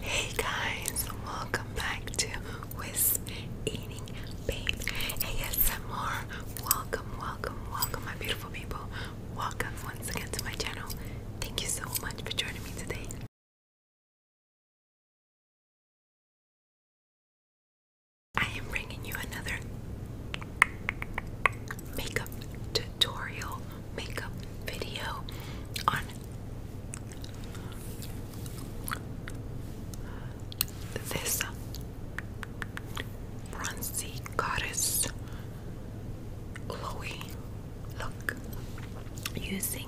Hey guys, welcome back to Wisp Eating Babe ASMR. Welcome, welcome, welcome, my beautiful people. Welcome once again to my channel. Thank you so much for joining me today. I am bringing you another makeup tutorial, makeup video on this bronzy goddess Chloe. Look, using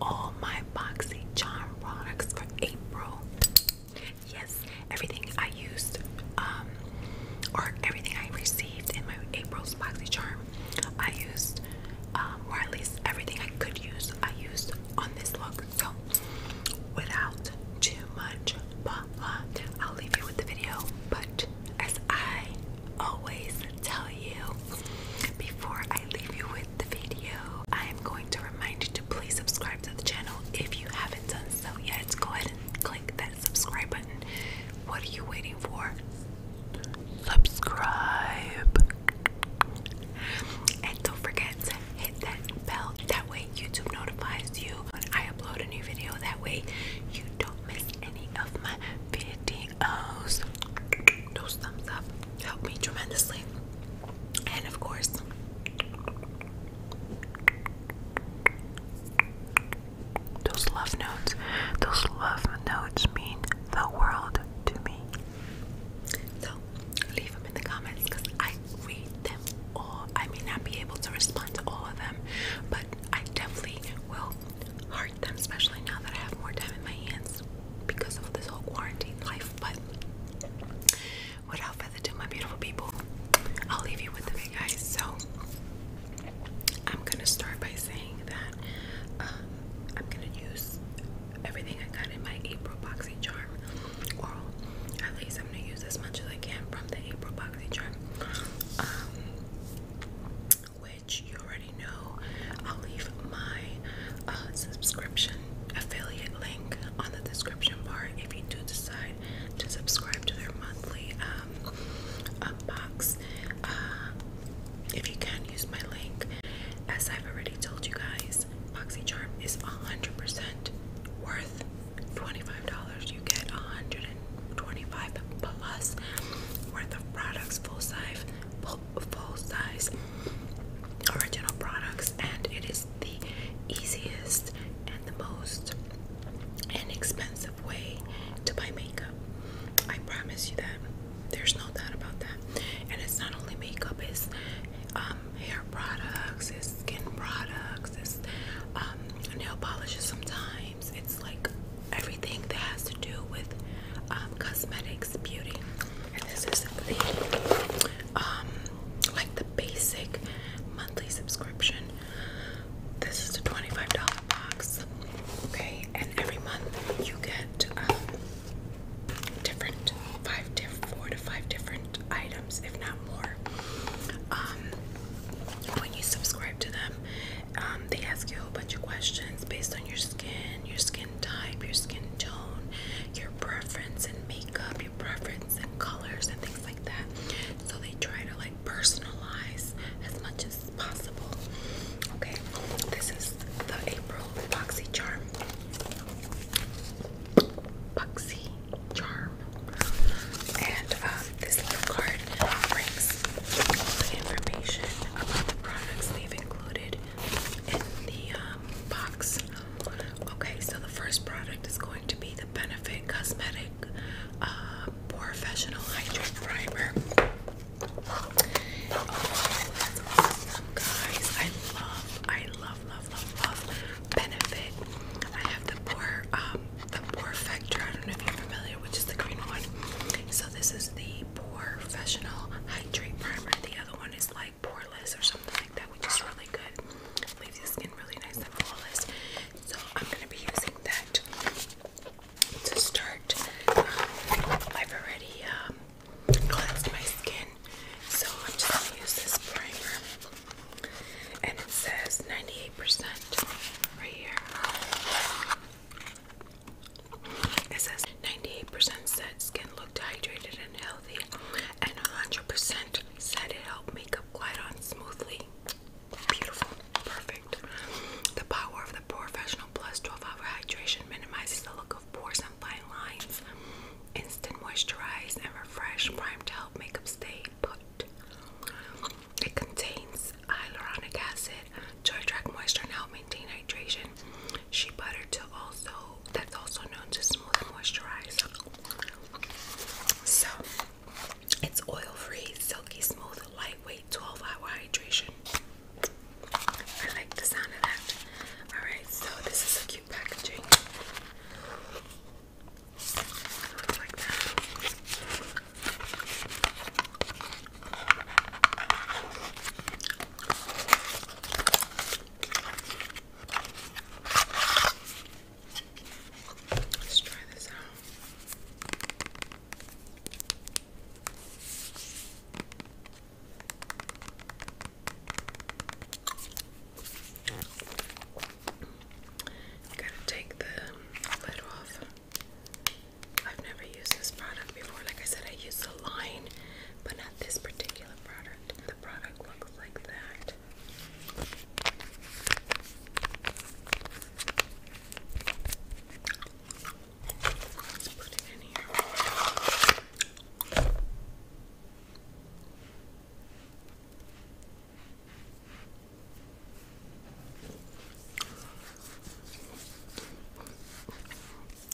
all my boxy charm products for April. Yes, everything I used, um, or everything I received in my April's boxy charm I used, um, or at least everything I could use, I used on this look. So, without too much blah blah, I'll leave you with the video. But as I always tell you, before I leave you with the video, I am going to remind you to please subscribe to the channel if you haven't done so yet. Go ahead and click that subscribe button. What are you waiting for? Subscribe. And don't forget to hit that bell. That way, YouTube notifies you when I upload a new video. That way, you don't miss any of my videos. Those thumbs up help me tremendously. And of course, those love notes. Those love notes mean the world to me. So leave them in the comments because I read them all. I may not be able to respond to all of them, but I definitely will heart them, especially now that I have more time in my hands because of this whole quarantine life. But without further ado, my beautiful people, I'll leave you with the big guys. So I'm gonna start by saying that uh, I'm gonna use everything I got in my April Boxy Charm oral. At least I'm gonna use as much as I can from the April Boxy Charm. Um, which you already know. I'll leave my uh, subscription affiliate link on the description bar if you do decide to subscribe to their monthly um, box. Uh, if you can, use my link. As I've already told you guys, Charm is 100% worth $25. You get 125 plus worth of products, full size, full, full size original products, and it is the easiest and the most inexpensive way to buy makeup. I promise you that. There's no doubt about that. And it's not only makeup, it's um, hair products, it's skin products, it's um, nail polishes sometimes. It's like everything that has to do with um, cosmetics, beauty. And this is the, um, like the basic monthly subscription. This is a $25 box. Okay, and every month you get different, five diff, four to five different items, if not more. Um, when you subscribe to them, um, they ask you a whole bunch of questions based on your skin, your skin type, your skin tone, your preference in makeup, your preference in colors, and things like that. So they try to like personalize as much as possible. Okay, this is the April Boxy Charm. Boxy Charm. And um, this little card brings all the information about the products they've included in the um, box. Okay, so the first product is going to be the Benefit Cosmetic uh, Professional Hydrate Primer guys. I love, I love, love, love, love Benefit. I have the pore, um, the pore factor. I don't know if you're familiar, which is the green one. So this is the pore professional hydrate primer. The other one is like poreless or something like that, which is really good. Leaves your skin really nice and flawless. So I'm gonna be using that to start. Um, I've already um, cleansed my skin. So I'm just going to use this primer. And it says 98% right here. It says 98% said skin looked hydrated and healthy, and 100% said it helped makeup glide on smoothly. Beautiful, perfect. The power of the professional 12 Hour Hydration minimizes the look of pores and fine lines. Instant moisturize and refresh prime to help makeup stay put. It contains hyaluronic acid to attract moisture and help maintain hydration. Shea butter to also that's also known to smooth and moisturize. So it's oil-free, silky smooth, lightweight 12-hour hydration. I like the sound of that. Alright, so this is a cute packaging. Let's try this out. Gotta take the lid off. I've never used this product before. Like I said, I use the line, but not this particular product. The product looks like that.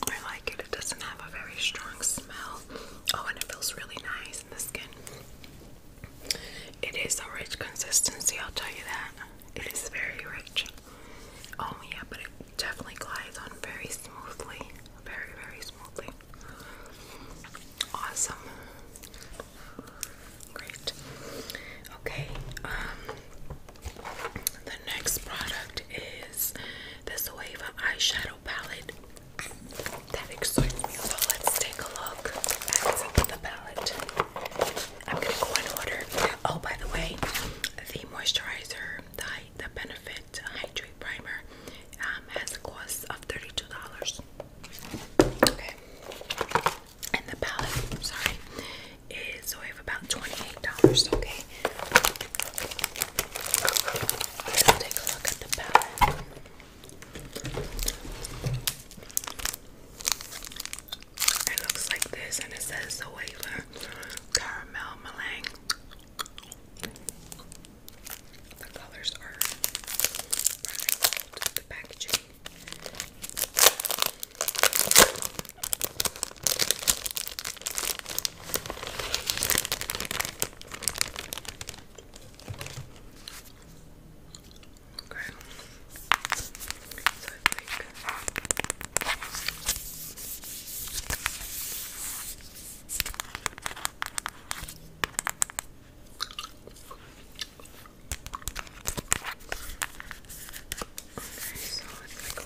I like it. It doesn't have a very strong smell. Oh, and it feels really nice in the skin. It is a rich consistency, I'll tell you that. It is very rich. Oh yeah, but it definitely glides on very smoothly. Very, very smoothly. Awesome. Great. Okay, um the next product is this Wava eyeshadow palette. That excites me. So let's take a look at the palette. I'm gonna go in order. Oh, by the way, the moisturizer the, the Benefit Hydrate Primer, um, has a cost of $32. Okay. And the palette, sorry, is so we have about $28. Okay. Let's take a look at the palette. It looks like this, and it says Zoela caramel meringue. The colors are right the packaging. Okay. So I think so it's like a little,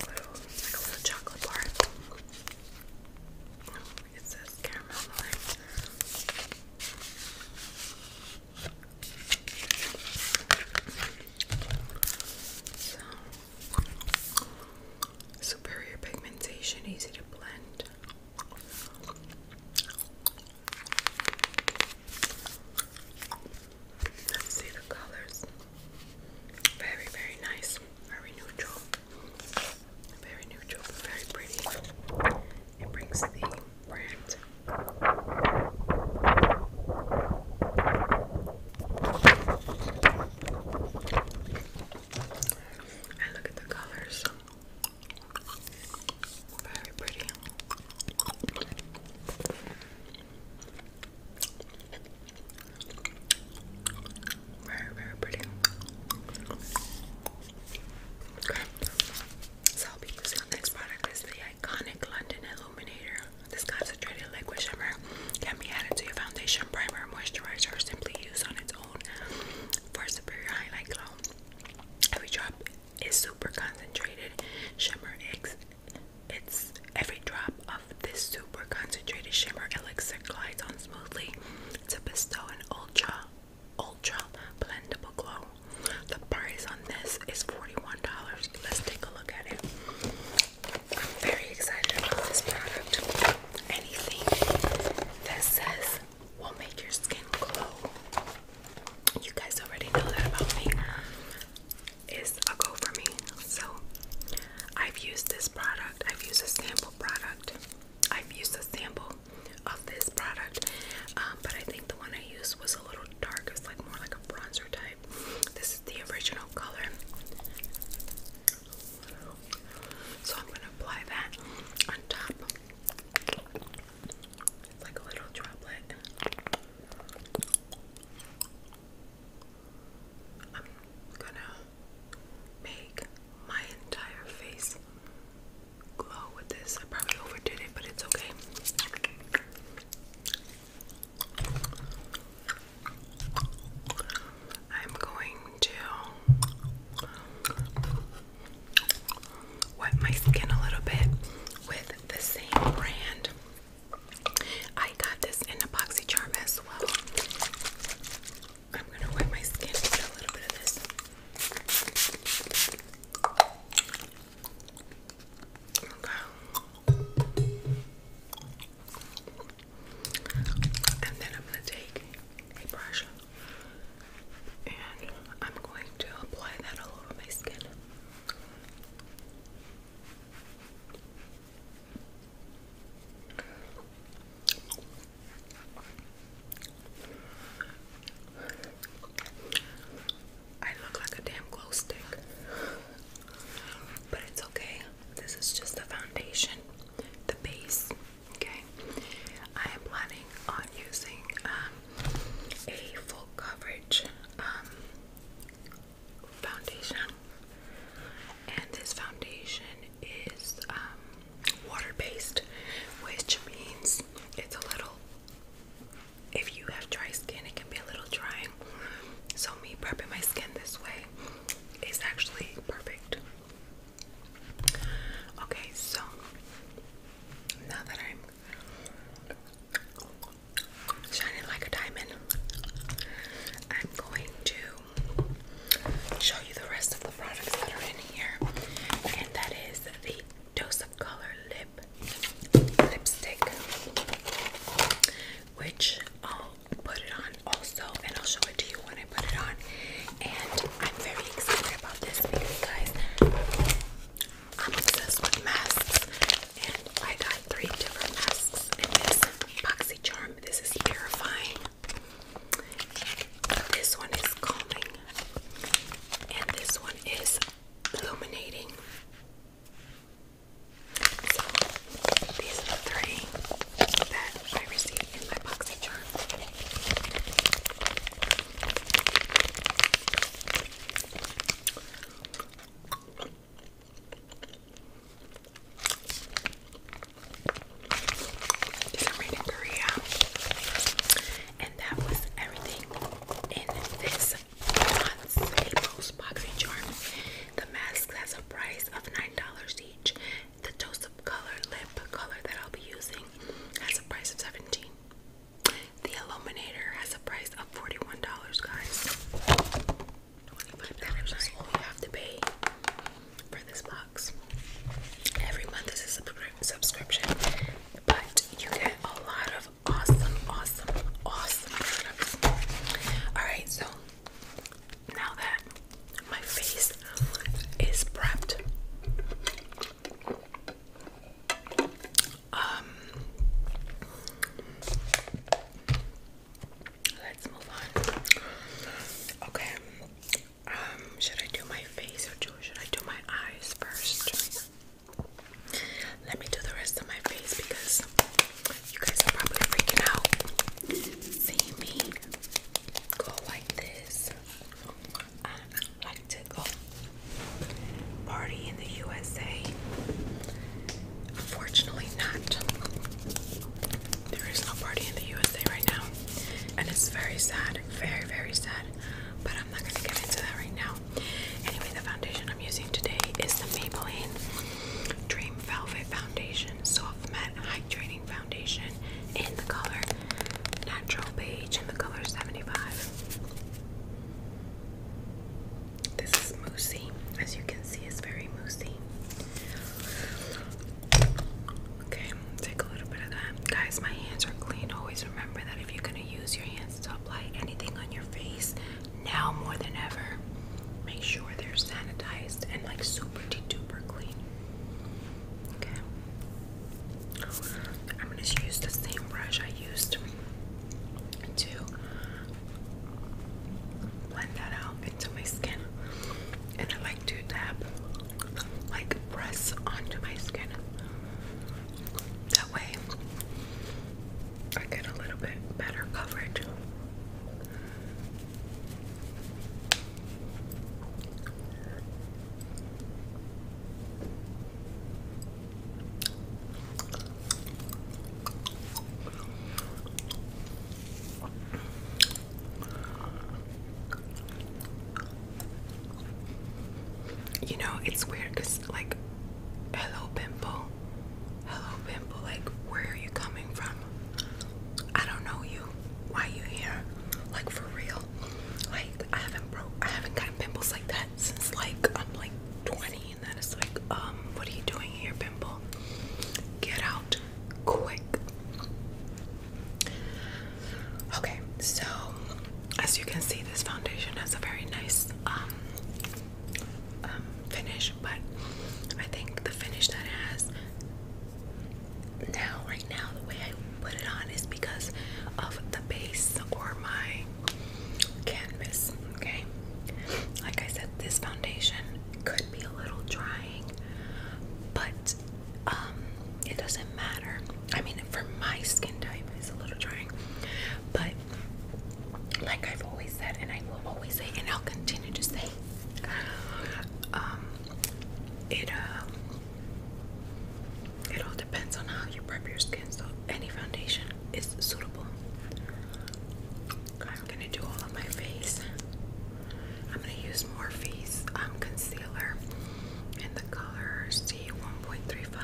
like a little chocolate bar. Oh, it says caramel on it superior pigmentation, easy to blend. Let's see the colors. Very, very nice. Very neutral. Very neutral, very pretty. It brings the brand and look at the colors. Very pretty. Very, very pretty. Okay. So I'll be using the next product is the iconic London Illuminator. This concentrated liquid shimmer can be added to your foundation, primer, moisturizer, or simply used on its own for superior highlight glow. Every drop is super concentrated shimmer. It's every drop of this super concentrated shimmer elixir glides on smoothly to bestow an ultra, ultra blendable glow. The price on this is $41. Let's take a look at it. I'm very excited about this product. Anything that says will make your skin glow. You guys already know that about me. Is a go for me. So I've used this product. I've used a sample product. I've used a sample of this product. Um, but I think the one I used was a little dark. It's like more like a bronzer type. This is the original color. So I'm going to apply that on top. It's like a little droplet. I'm going to make my entire face glow with this. I probably overdid it, but it's okay. I'm going to wet my skin a little bit with the same brand. I got this in epoxy charm as well. I'm gonna wet my skin a little bit of this. And then I'm going to take a brush and I'm going to apply that all over my skin. I look like a damn glow stick, but it's okay. This is just the foundation, the base. Okay, I am planning on using um, a full coverage um, foundation, and this foundation is um, water based, which means it's a little. If you have dry skin, it can be a little drying. So me prepping my skin this way it's actually perfect. Okay, so now that I'm shining like a diamond, I'm going to show you the rest of the products that are in here, and that is the Dose of Color Lip Lipstick which I'll put it on also and I'll show it to you when I put it on. And I'm very excited about this because guys I'm obsessed with masks and I got three different masks in this BoxyCharm. This is purifying. This one is calming and this one is illuminating. So these are the three that I received in my boxy charm. I'm reading Korea, and that was everything in this month's April's boxing charm. The mask has a price of $9 the dose of Color lip color that I'll be using has a price of 17 The Illuminator has a price of $41, guys. $25 is all you have to pay for this box. Every month is a subscription, but you get a lot of awesome, awesome, awesome products. Alright, so now that my face is prepped, um, let's move on. Okay, um, should I do my face or should I do my eyes first? Let me do the rest of my face because you guys are probably freaking out. See me go like this. I like to go party in the USA. Unfortunately, not. There is no party in the USA right now, and it's very sad, very, very sad. But I'm not gonna get into that right now. Anyway, the foundation I'm using today is the Maybelline Dream Velvet Foundation. So Soft Hydrating Foundation in the color Natural Beige in the color 75. This is moussey. As you can see, it's very moussey. Okay, take a little bit of that. Guys, my hands are clean. Always remember that if you're going to use your hands to apply anything on your face, now more than ever, Make sure they're sanitized and like super duper clean. Okay. I'm gonna use the same brush I used to blend that out into my skin. And I like to tap, like press onto my skin. That way I get a little bit better coverage. You know, it's weird because, like, hello, pimple, hello, pimple, like, where are you coming from? I don't know you. Why you here? Like for real? Like I haven't broke. I haven't gotten pimples like that since like I'm like 20, and then it's like, um, what are you doing here, pimple? Get out quick. Okay, so as you can see, this foundation has a very nice um, um finish, but I think the finish that it has now right now the way I put it on is because of the base or my canvas okay like I said this foundation could be a little drying but um, it doesn't matter I mean for my skin type it's a little drying but like I've always said and I will always say and I'll continue to say um, it uh, it all depends on how you prep your skin, so any foundation is suitable. I'm gonna do all of my face. I'm gonna use Morphe's um, concealer in the color C1.35.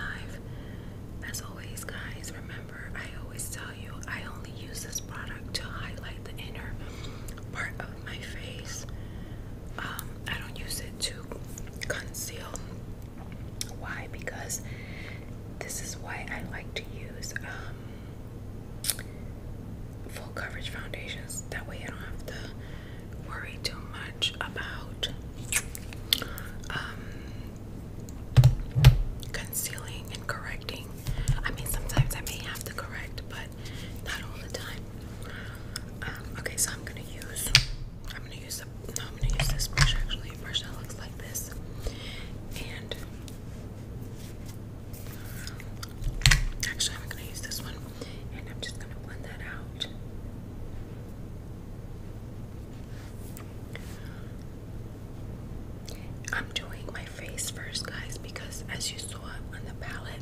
As always, guys, remember I always tell I only use this product to highlight the inner part of my face. Um, I don't use it to conceal. Why? Because this is why I like to use um, full coverage foundations. That way I don't have to worry too much about um, concealing correcting. I mean, sometimes I may have to correct, but not all the time. Um, okay, so I'm gonna use. I'm gonna use the. I'm gonna use this brush actually. A brush that looks like this, and actually, I'm gonna use this one, and I'm just gonna blend that out. I'm doing my face first, guys, because as you saw on the palette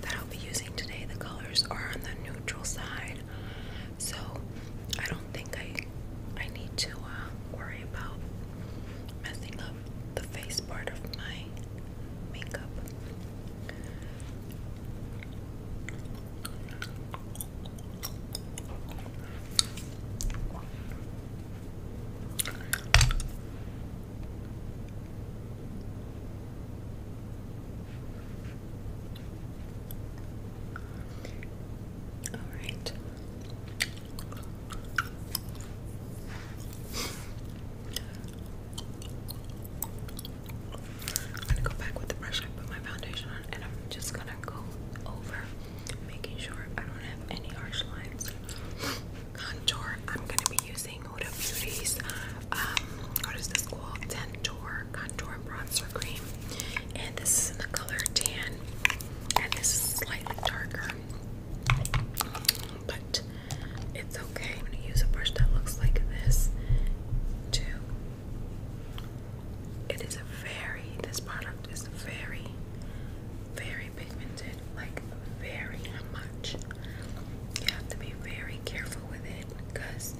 that I'll be using today, the colors are on the neutral side. So I don't think I I need to uh, worry about messing up the face part of my makeup. All right. I'm gonna go back with the brush I put my foundation on, and I'm just gonna go over, making sure I don't have any harsh lines contour. I'm gonna be using Huda Beauties. um, what is this called? Dentor Contour Bronzer Cream, and this is in the color tan, and this is slightly darker, but it's okay. I'm gonna use a brush that looks like this too. It is a very this product is very, very pigmented like very much. You have to be very careful with it because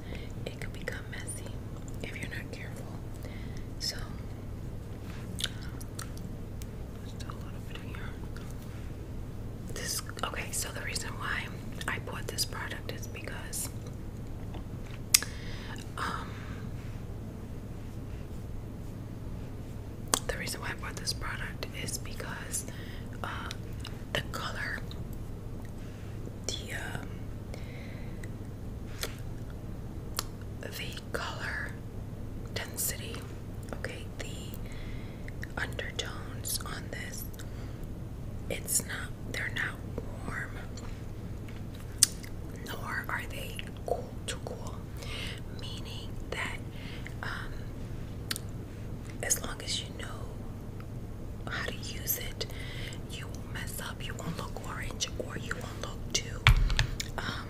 it can become messy if you're not careful. So, still a little bit here. This okay. So the reason why I bought this product is because um, the reason why I bought this product is because um, the color, the um, the color density, okay, the undertones on this, it's not they're not warm, nor are they cool. Too cool, meaning that um, as long as you know how to use it, you won't mess up, you won't look orange, or you won't look too. Um,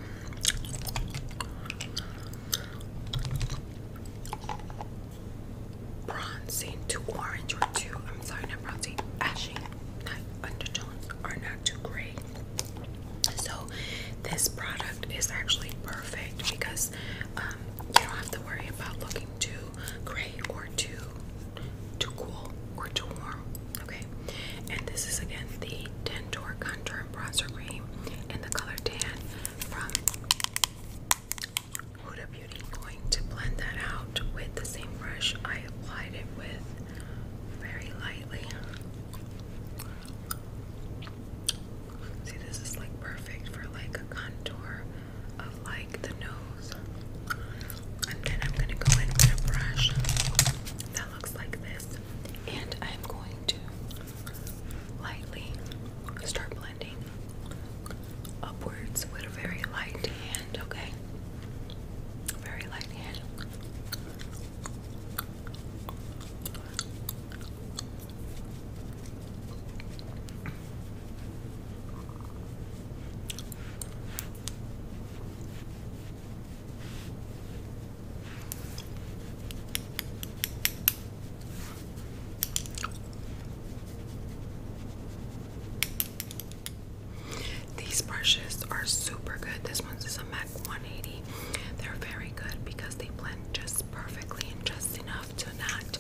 bronzing too orange or too, I'm sorry, not bronzing, ashy, undertones are not too great. So this product is actually perfect because um, you don't have to worry about looking too gray or too too cool or too warm. Okay, and this is again the Dentor Contour Bronzer Cream in the color tan from Huda Beauty. Going to blend that out with the same brush I applied it with very lightly. See, this is like perfect for like a contour of like the nose. And then I'm gonna go in with a brush that looks like this. And I'm going to lightly start blending upwards with a very light hand, okay? Very light hand. These brushes are super good. This one's is a MAC 180. They're very good because they blend just perfectly and just enough to not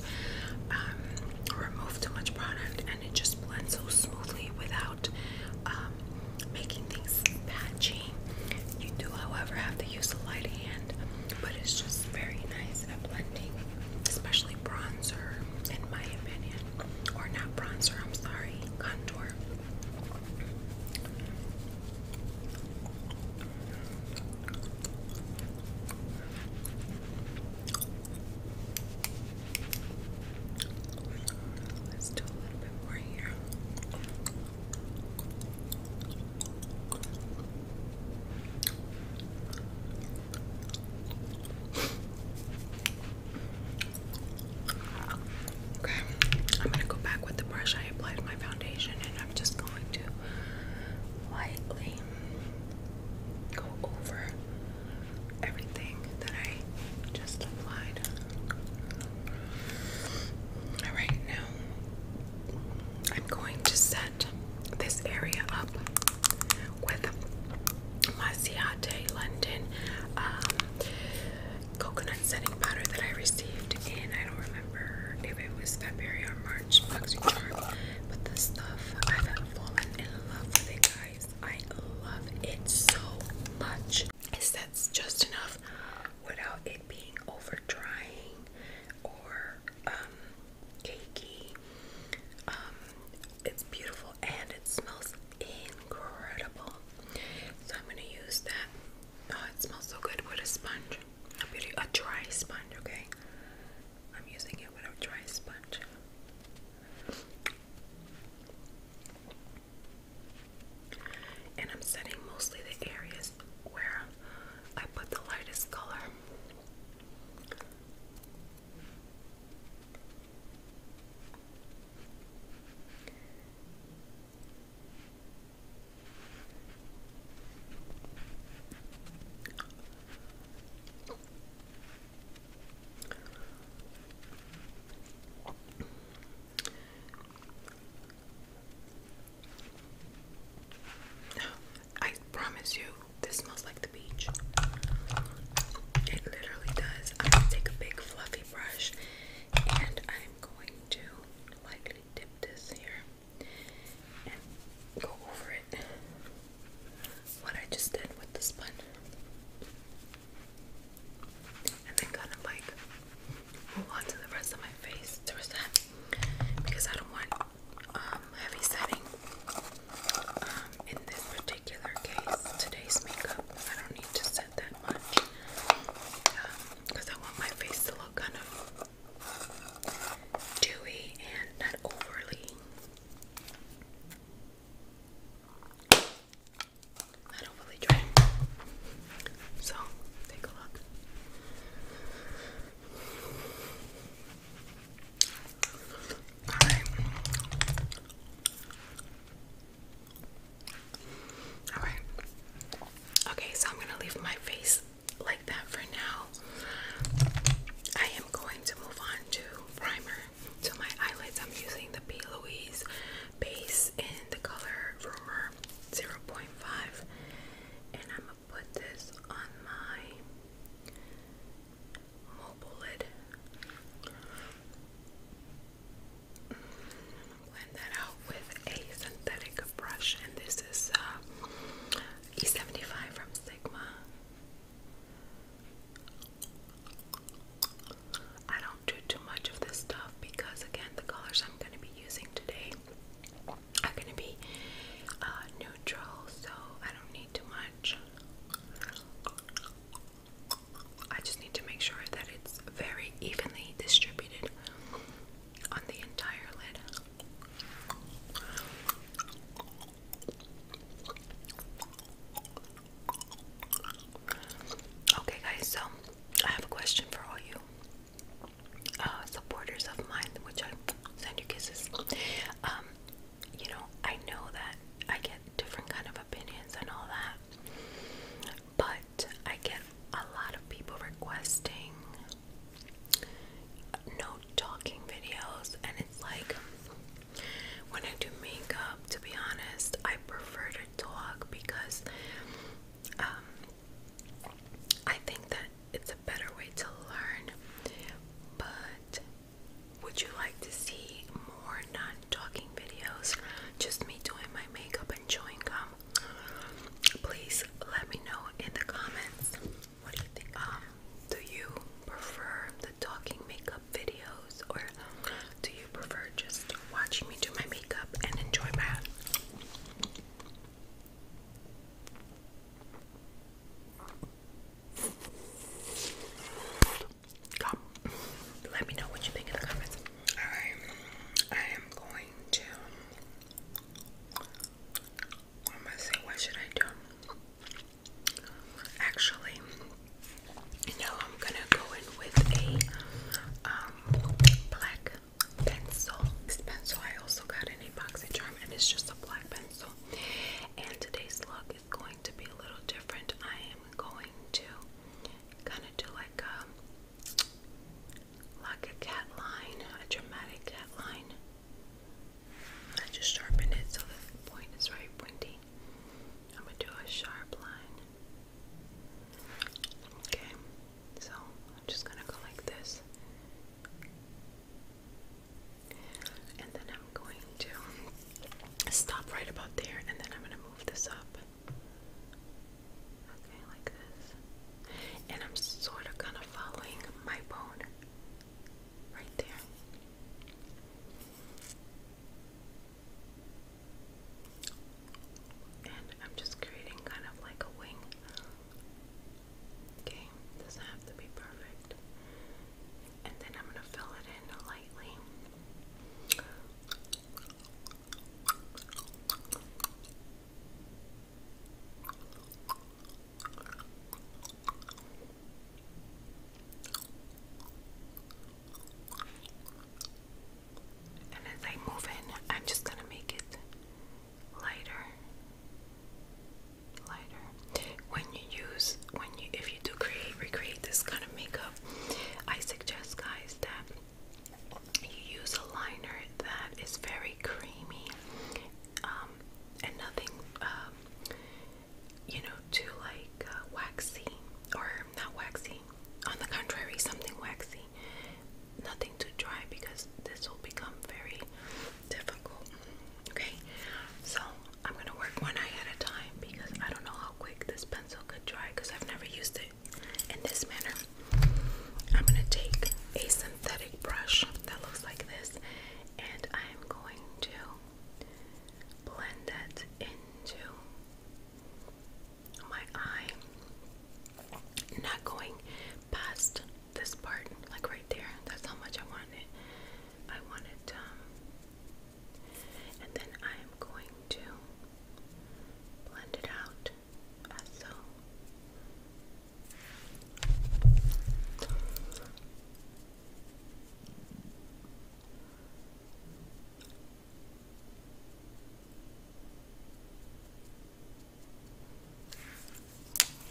um, remove too much product, and it just blends so smoothly without um, making things patchy. You do, however, have to use a light hand, but it's just very nice at blending, especially bronzer, in my opinion. Or not bronzer, I'm sorry, contour. Let's do a little bit more here. Okay, I'm gonna go back with the brush I applied my foundation I'm just going to lightly go over everything that I just applied. Alright, now I'm going to set this area up with my Ciate London um, coconut setting powder that I received and I don't remember if it was February or March, Boxy Charm. But this stuff, I've fallen in love with it, guys. I love it so much. It's sets just enough without it being over drying or um, cakey. Um, it's beautiful and it smells incredible. So I'm gonna use that. Oh, it smells so good with a sponge. Beauty, a dry sponge, okay? I'm using it with a dry sponge. And I'm setting mostly the areas where I put the lightest color. I promise you, this smells like the beach. It literally does. I'm gonna take a big fluffy brush and I'm going to lightly dip this here and go over it what I just did with the sponge and then kind of like move on the rest of my face to reset because I don't want um, heavy setting um, in this particular case today's makeup I don't need to set that much because um, I want my face to look kind of dewy and not overly. Not overly dry. So take a look. Alright. Alright. Okay, so I'm gonna leave my face like that for now. I am going to move on to primer to my eyelids. I'm using the P. Louise base in the color Rumor 0.5, and I'm gonna put this on my mobile lid blend that out with a synthetic brush, and this is uh, E75 from Sigma. I don't do too much of this stuff because, again, the colors I'm going to be using today are going to be uh, neutral, so I don't need too much. I just need to make sure that it's very evenly distributed on the entire lid. Okay, guys, so I have a question for all you uh, supporters of mine, which I send you kisses. Um, you know, I know that I get different kind of opinions and all that, but I get a lot of people requesting no talking videos, and it's like when I do makeup, to be honest, I prefer to talk because um, I think that it's a better way to learn. But would you like to see more non talking videos? Just me doing my makeup and chewing gum? from. Please let me know in the comments. What do you think? Um, do you prefer the talking makeup videos or do you prefer just watching me do my makeup and enjoy my Let me know what you think in the comments. I am going to what am I saying? What should I do? Actually, no, I'm gonna go in with a um, black pencil. This pencil I also got in a boxy charm, and it's just a black pencil. And today's look is going to be a little different. I am going to kind of do like a um, like a cat line, a dramatic cat line. I just sharpened it so the point is very pointy. I'm gonna do a sharp line. Okay, so I'm just gonna go like this. And then I'm going to stop right about there and then I'm gonna move this up. Okay, like this. And I'm sort of kind of following my bone right there. And I'm just creating kind of like a wing. Okay, doesn't have to be perfect. And then I'm going to fill it in lightly. And as I move in, I'm just going to make it lighter. Lighter. When you use, when you, if you do create, recreate this kind of makeup, I suggest, guys, that you use a liner that is very creamy um, and nothing, um, you know, too like uh, waxy or not waxy. On the contrary, something waxy. Nothing too dry because this will become very difficult. Okay, so I'm gonna work one eye at a time because I don't know how quick this pencil could dry because I've never used it in this manner. I'm going to take a synthetic brush that looks like this and I'm going to blend it into my eye. Not going past this part, like right there. That's how much I want it. I want it, um, and then I am going to blend it out azul. Move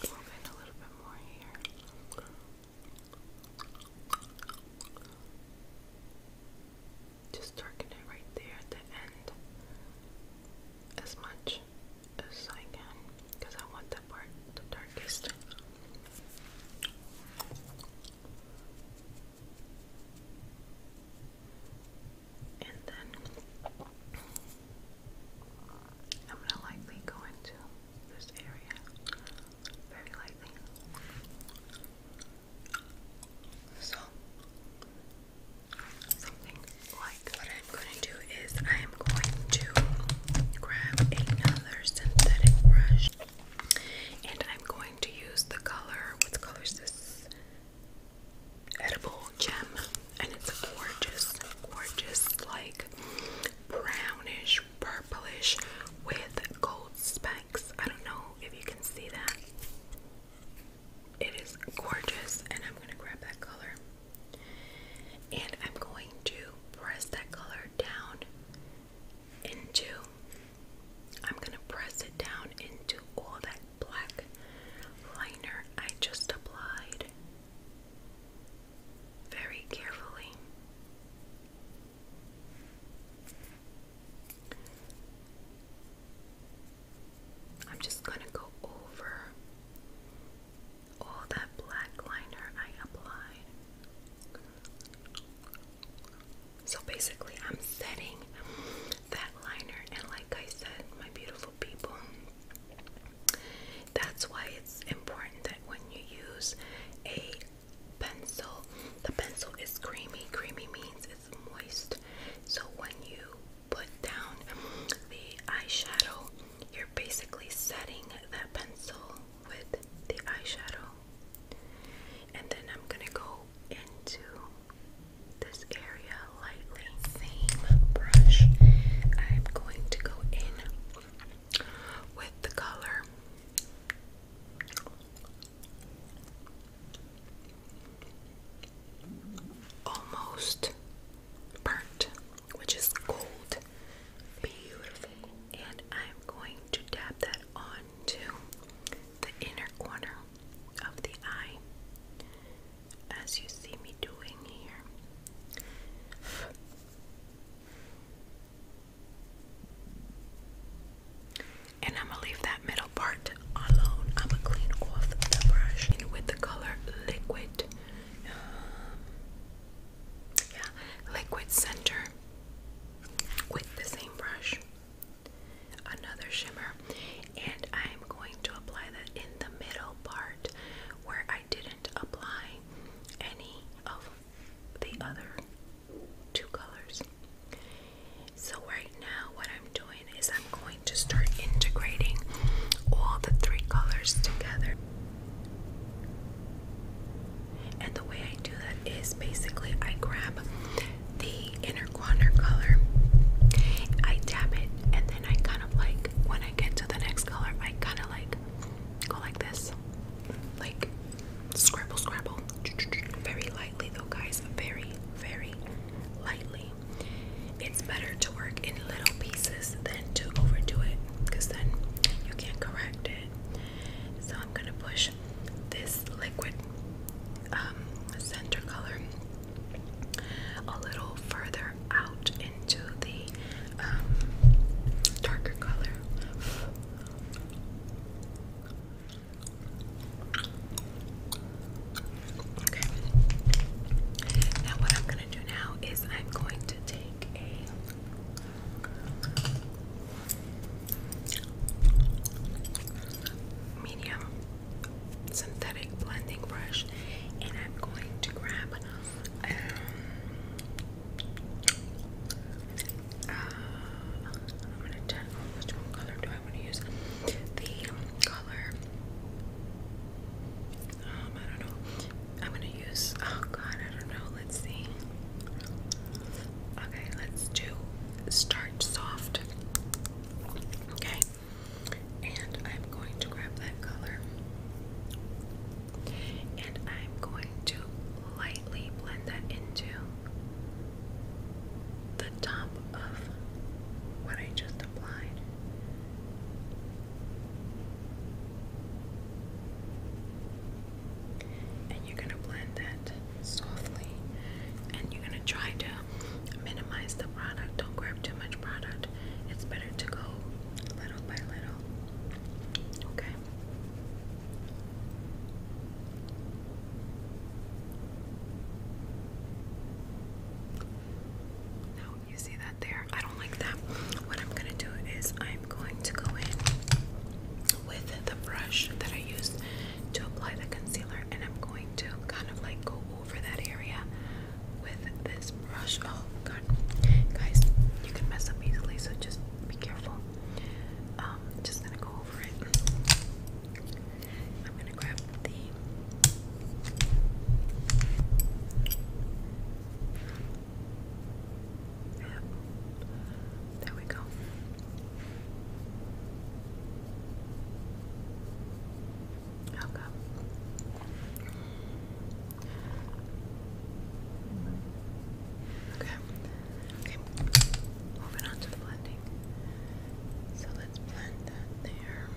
in a little bit more here. Just darken it right there at the end as much as I can because I want that part the darkest. And then I'm gonna lightly go into this area very lightly. So what I'm going to do is I'm going to grab another synthetic brush and I'm going to use the color. What color is this? Edible Gem. And it's a gorgeous, gorgeous, like brownish, purplish with gold specks. I don't know if you can see that. It is gorgeous, and I'm gonna grab that color and I'm going to press that color down into. I'm gonna press it down into all that black liner I just applied very carefully. I'm just going to go over all that black liner I applied. So basically, I'm setting that liner, and like I said, my beautiful people, that's why it's important that when you use a pencil, the pencil is creamy. Creamy means it's moist. So when you put down the eyeshadow, you're basically setting that pencil with the eyeshadow. And then I'm going to go into this area lightly. Same brush. I'm going to go in with the color. Almost burnt, which is gold. Beautiful. And I'm going to dab that onto the inner corner of the eye, as you see me doing here. And I'm gonna leave that middle part alone. I'm gonna clean off the brush with the color liquid. Um, yeah, liquid center with the same brush. Another shimmer, and I'm going to apply that in the middle part where I didn't apply any of the other two colors. So, right now, what I'm doing is I'm going to start integrating all the three colors together. And the way I do that is basically I grab the inner corner color, I dab it, and then I kind of like, when I get to the next color, I kind of like go like this. Like scribble, scribble. Very lightly though, guys. Very, very lightly. It's better to work in little pieces than to overdo it because then you can't correct it. So I'm going to push this liquid um, center color a little further out into the um, darker color. Now what I'm gonna do now is I'm going to take a medium synthetic blending brush and I'm going to grab um, uh, I'm gonna tell which color do I want to use the color um, I don't know. I'm gonna use. Oh God, I don't know. Let's see. Okay, let's do starch soft. Okay, and I'm going to grab that color, and I'm going to lightly blend that into the top of what I just applied. And you're going to blend that softly. And you're going to try to minimize the product. Don't grab too much product. It's better to go little by little. Okay. Now, you see that there? I don't like that. What I'm gonna do is I'm going to go in with the brush that I used to apply the concealer, and I'm going to kind of like go over that area with this brush. Oh god, guys, you can mess up easily, so just be careful. Um, just gonna go over it gonna There we go. Okay. Okay. Okay. Moving on to blending. So blend that there.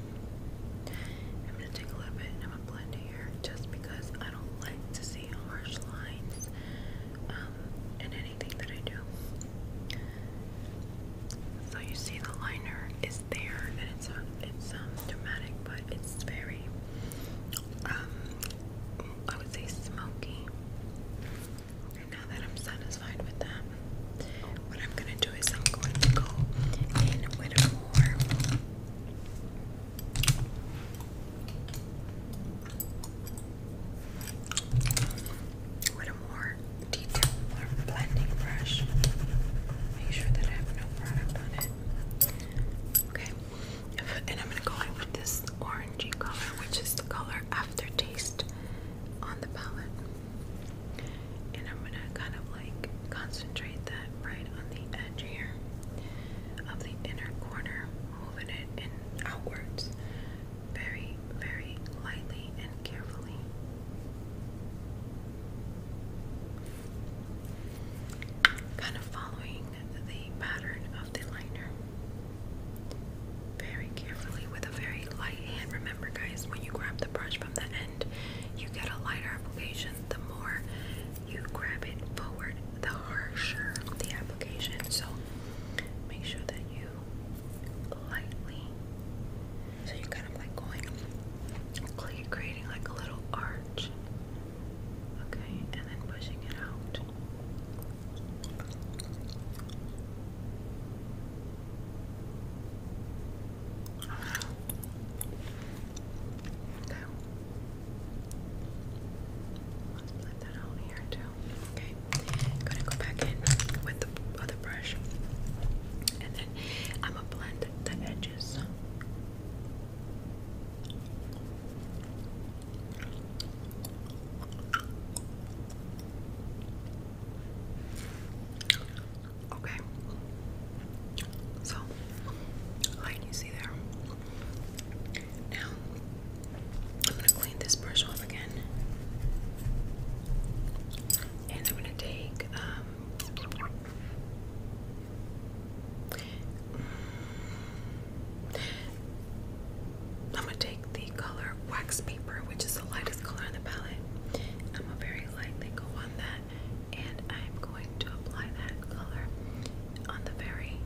I'm gonna take a little bit and I'm gonna blend here just because I don't like to see harsh lines um, in anything that I do. So you see the liner is there and it's uh, it's um dramatic but it's very um I would say smoky. now that I'm satisfied with that, what I'm going to do is I'm going to go in with a more with a more detailed blending brush. Make sure that I have no product it. Okay, and I'm going with this orangey color, which is the color Aftertaste on the palette and I'm gonna kind of like concentrate that right on the edge here of the inner corner, moving it in outwards very, very lightly and carefully. Kind of following the pattern of the liner very carefully with a very light hand. Remember, guys, when you grab the brush from the you get a lighter application, the more you grab it forward, the harsher the application. So make sure that you lightly, so you're kind of like going, creating like a little arch, okay, and then pushing it out. Okay. Let's put that on here too. Okay. I'm gonna go back in with the other brush. And then I'm gonna blend the edges. Okay. So, like you see there. Now, I'm going to clean this brush off again. And I'm going to take, um, mm, I'm going to take the color wax paper, which is the lightest color in the palette. I'm going to very lightly go on that and I'm going to apply that color on the very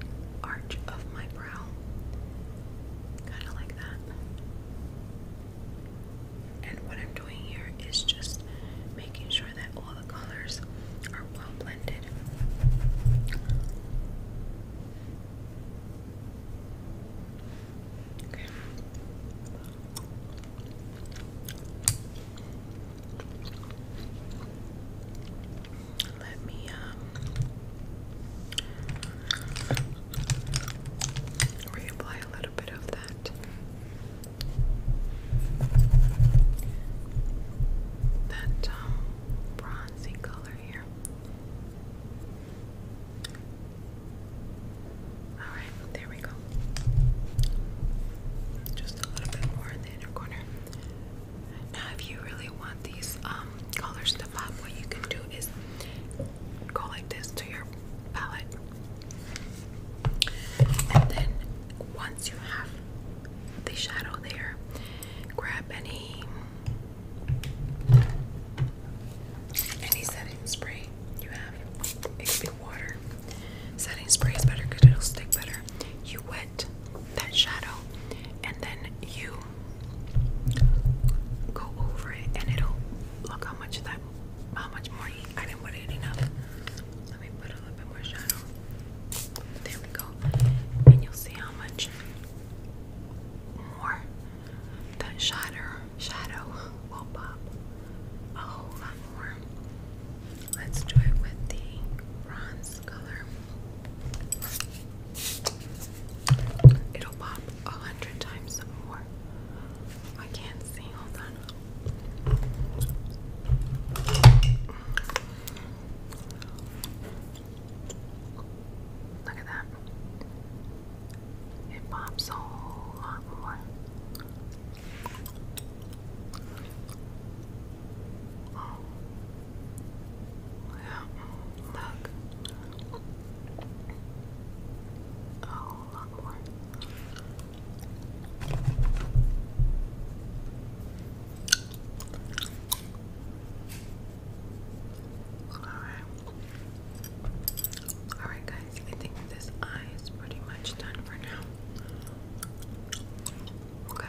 arch of my brow, kind of like that. And what I'm doing here is just making sure that all the colors are well blended. Okay. Let me um reapply a little bit of that. That um, bronzy color here. Alright, there we go. Just a little bit more in the inner corner. Now, if you really want these um, colors to pop, what you can do is go like this to your palette. And then, once you have the shadow there, grab any any setting spray you have. It could be water. Setting spray is better because it'll stick better. You wet that shadow and then you go over it and it'll look how much that how much more I didn't put it enough. Let me put a little bit more shadow. There we go. And you'll see how much more that shadow shadow will pop a oh, Let's do it with the bronze color. It'll pop a hundred times more. I can't see. Hold on. Look at that. It pops a whole lot more. Oh. Yeah. Look. Oh, a Alright. Alright guys, I think this eye is pretty much done for now. Okay.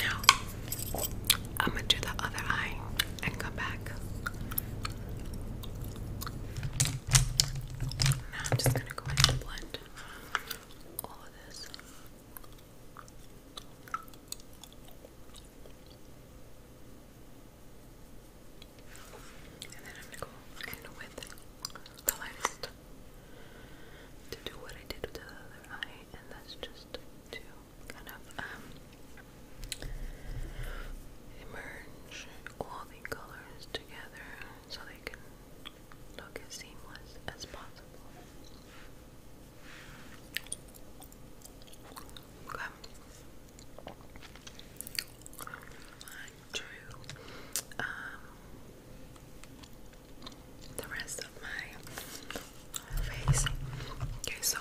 Now, I'm going to do the other eye and come back. Now, I'm just going to go ahead and blend all of this. And then I'm gonna go in with the lightest to do what I did with the other eye, and that's just to kind of um, all the colors together so they can look as seamless as possible. Okay. One, two. Um, the rest of my face. Okay, so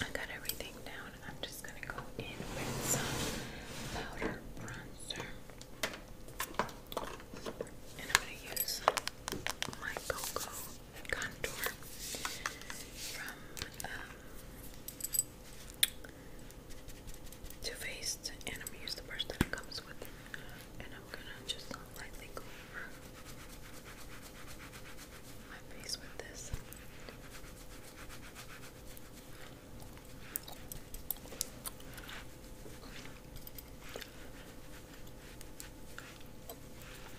I got everything down. I'm just gonna go in with some powder bronzer. And I'm gonna use my Cocoa contour from um, Too Faced, and I'm going the brush that comes with, and I'm gonna just lightly go my face with this.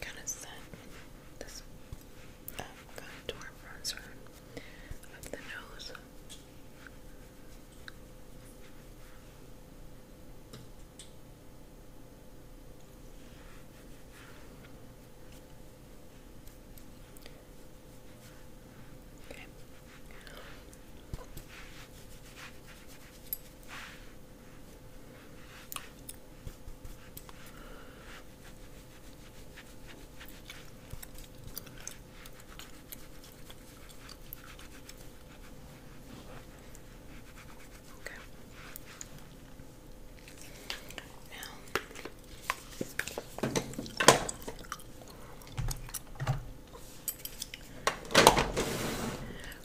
gonna set this um, contour bronzer of the nose. Okay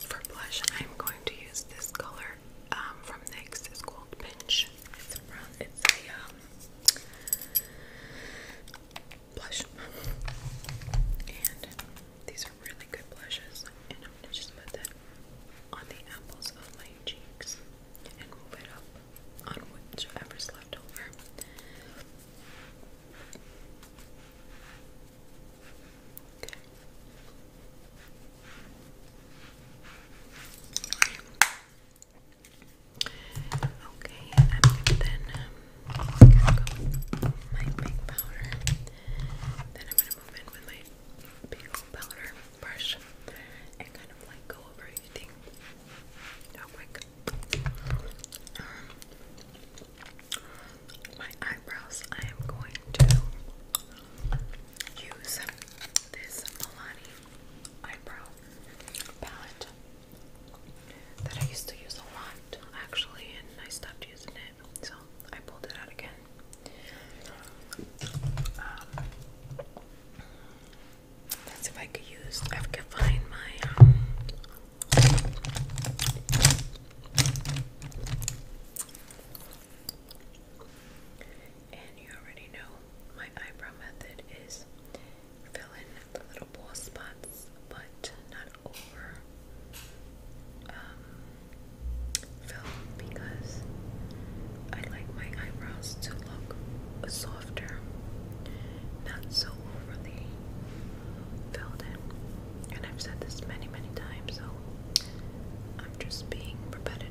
for blush, I'm going to use this color um, from NYX is called Pinch. It's a um, blush, and these are really good blushes. And I'm just put that on the apples of my cheeks and move it up on whichever's left over. Okay. Okay, I'm gonna go um, my pink powder. Then I'm gonna move in with my big powder brush and kind of like go over everything real quick. Um, my eyebrows, I am going to use this Milani eyebrow palette that I used to use a lot actually, and I stopped using it, so I pulled it out again. Um, that's if I could use, I could find my. Um, and you already know my eyebrow method is fill in the little ball spots, but not over um, because I like my eyebrows to look softer, not so overly filled in. And I've said this many, many times, I'm just being repetitive.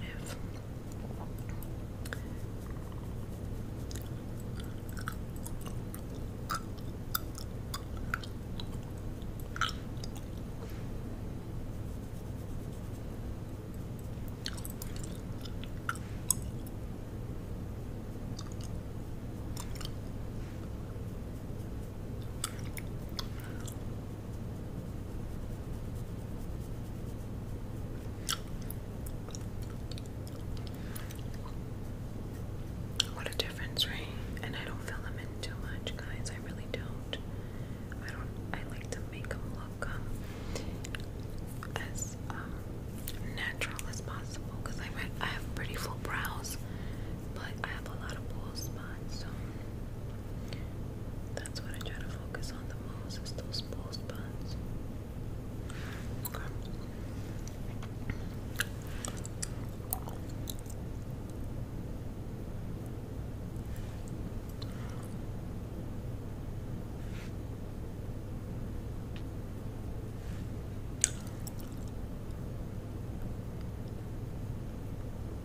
What a difference, right? And I don't fill them in too much, guys. I really don't. I don't. I like to make them look um, as um, natural as possible because I have pretty full brows, but I have a lot of bull spots. So that's what I try to focus on the most is those ball spots.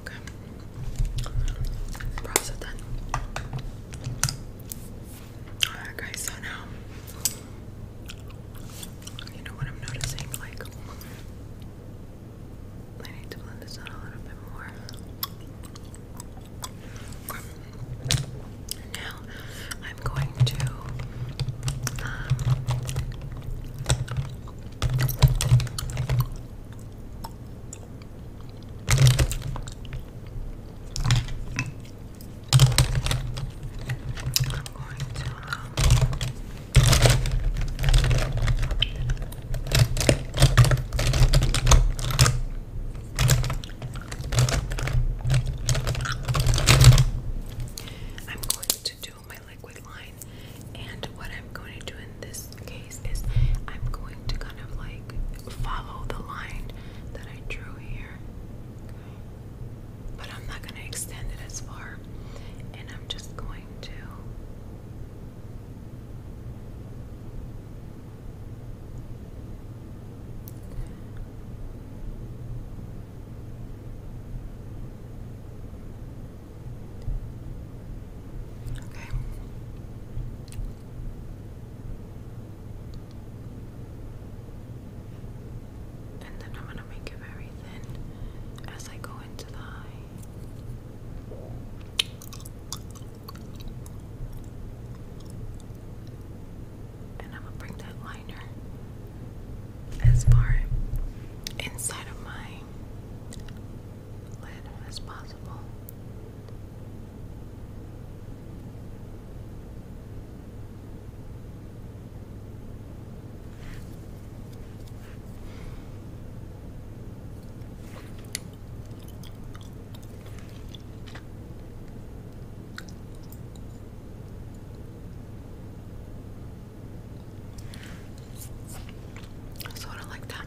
Okay. Browse it Alright guys, so now you know what I'm noticing, like I need to blend this out a little bit more. Now I'm going to um, I'm going to um, I'm going to do my liquid line, and what I'm going to do in this case is I'm going to kind of like follow the line that I drew here, but I'm not going to extend it as far, and I'm just going going to Okay and then I'm going to make it very thin as I go into the eye. And I'm gonna bring that liner as far inside of my lid as possible. Sort of like that.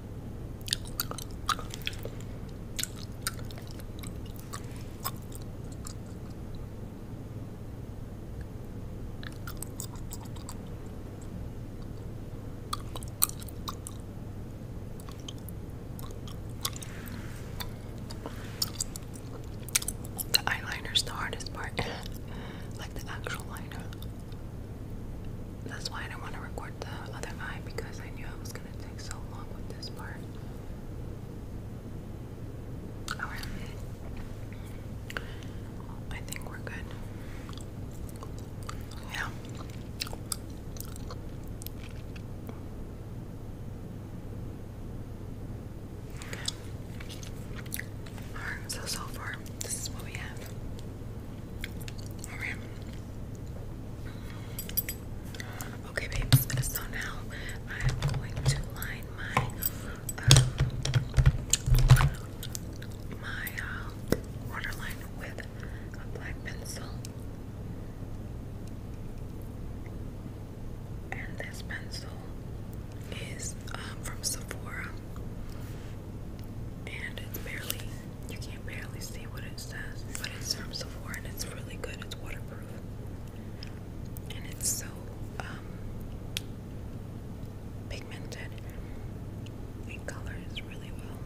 The eyeliner is the hardest part, like the actual liner. That's why I didn't want to record the other eye because I knew I was gonna so long with this part. Alright. I think we're good. Yeah. Alright, so so far, this is what we have. Alright. Okay, babes. So now I'm going to line my um, my uh, waterline with a black pencil, and this pencil is um, from Sephora, and it's barely you can barely see what it says, but it's from Sephora and it's really good. It's waterproof. And it's so um, pigmented. It colors really well.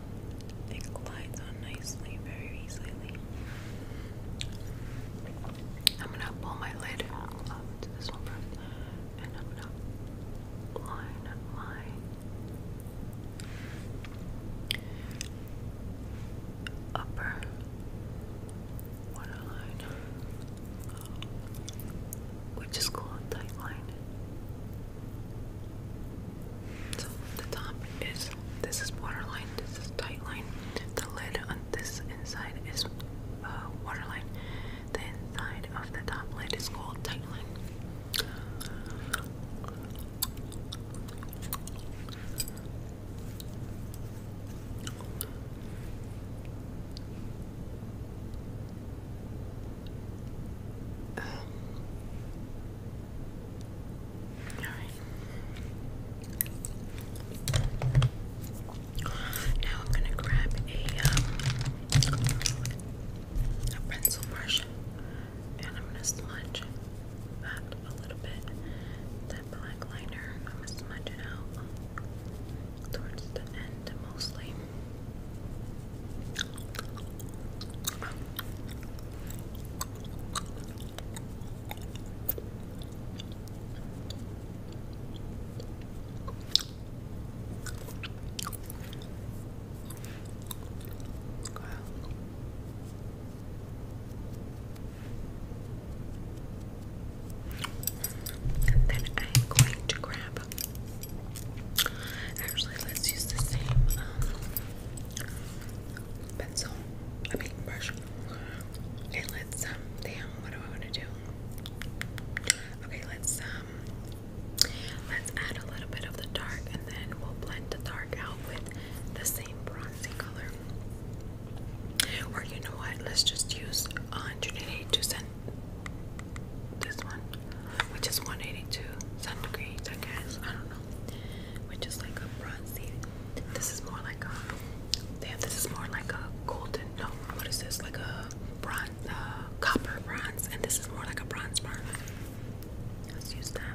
It glides on nicely, very easily. I'm gonna pull my lid up to this one, and I'm gonna line my upper waterline, oh, which is called tight So the top is this is waterline, this is tight line. The lid on this inside is uh, waterline. The inside of the top lid is called tight line. Um, all right. Now I'm gonna grab a um, a pencil brush, and I'm gonna smudge that a little bit. That black liner, I'm gonna smudge it out um, towards the end mostly. And then I'm going to grab. Actually, let's use the same um, pencil. I mean brush. let's um, Damn, what do I want to do? Okay, let's um, Let's add a little bit of the dark, and then we'll blend the dark out with the same bronzy color. Or you know what? Let's just use 182 cent this one, which is 182 centigrade, I guess. I don't know. Which is like a bronzy. This is more like a. Damn, this is more like a golden. No, what is this? Like a bronze, uh, copper bronze, and this is more like a bronze bar. Let's use that.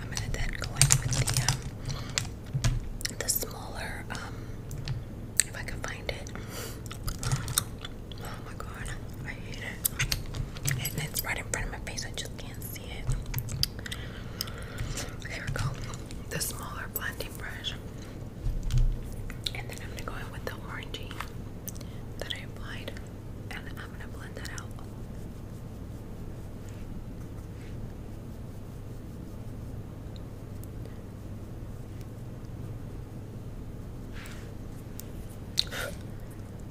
I'm gonna then go in with the um, the smaller um, if I can find it. Oh my god, I hate it. And it's right in front of my face. I just can't here we The smaller blending brush. And then I'm gonna go in with the orangey that I applied and I'm gonna blend that out.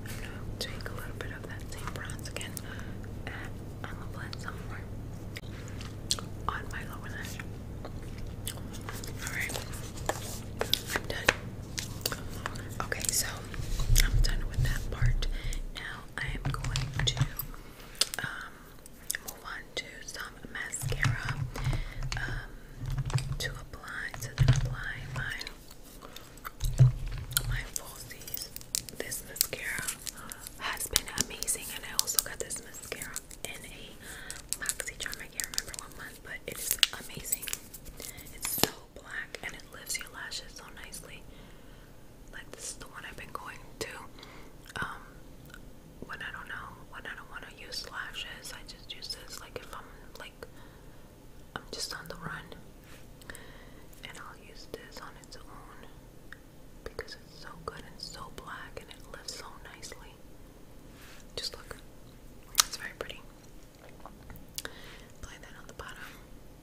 I'm gonna take a little bit of that same bronze again I'm gonna put some more on my lower lash. Alright, I'm done. Okay, so I'm done with that part. Now I am going to um, move on to some mascara um, to apply to apply my my falsies. This mascara has been amazing. And I also got this mascara in a Moxie charm. I can't remember what month, but it is amazing. It's so black and it lifts your lashes so nicely. Like this is the one I've been going to. Um, when I don't know, when I don't want to use lashes, I just use this. Like if I'm like, I'm just on the run, and I'll use this on its own because it's so good and so black and it lives so nicely. Just look. It's very pretty. Apply that on the bottom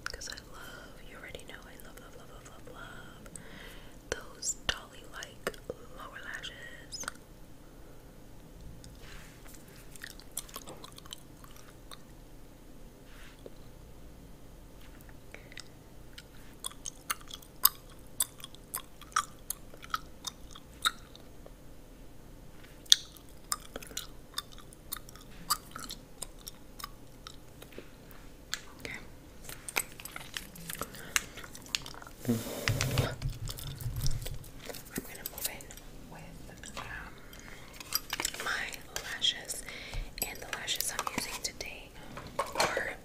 because I love, you already know, I love, love, love, love, love, love those dolly like lower lashes. Okay. I'm gonna move in with um, my lashes, and the lashes I'm using today are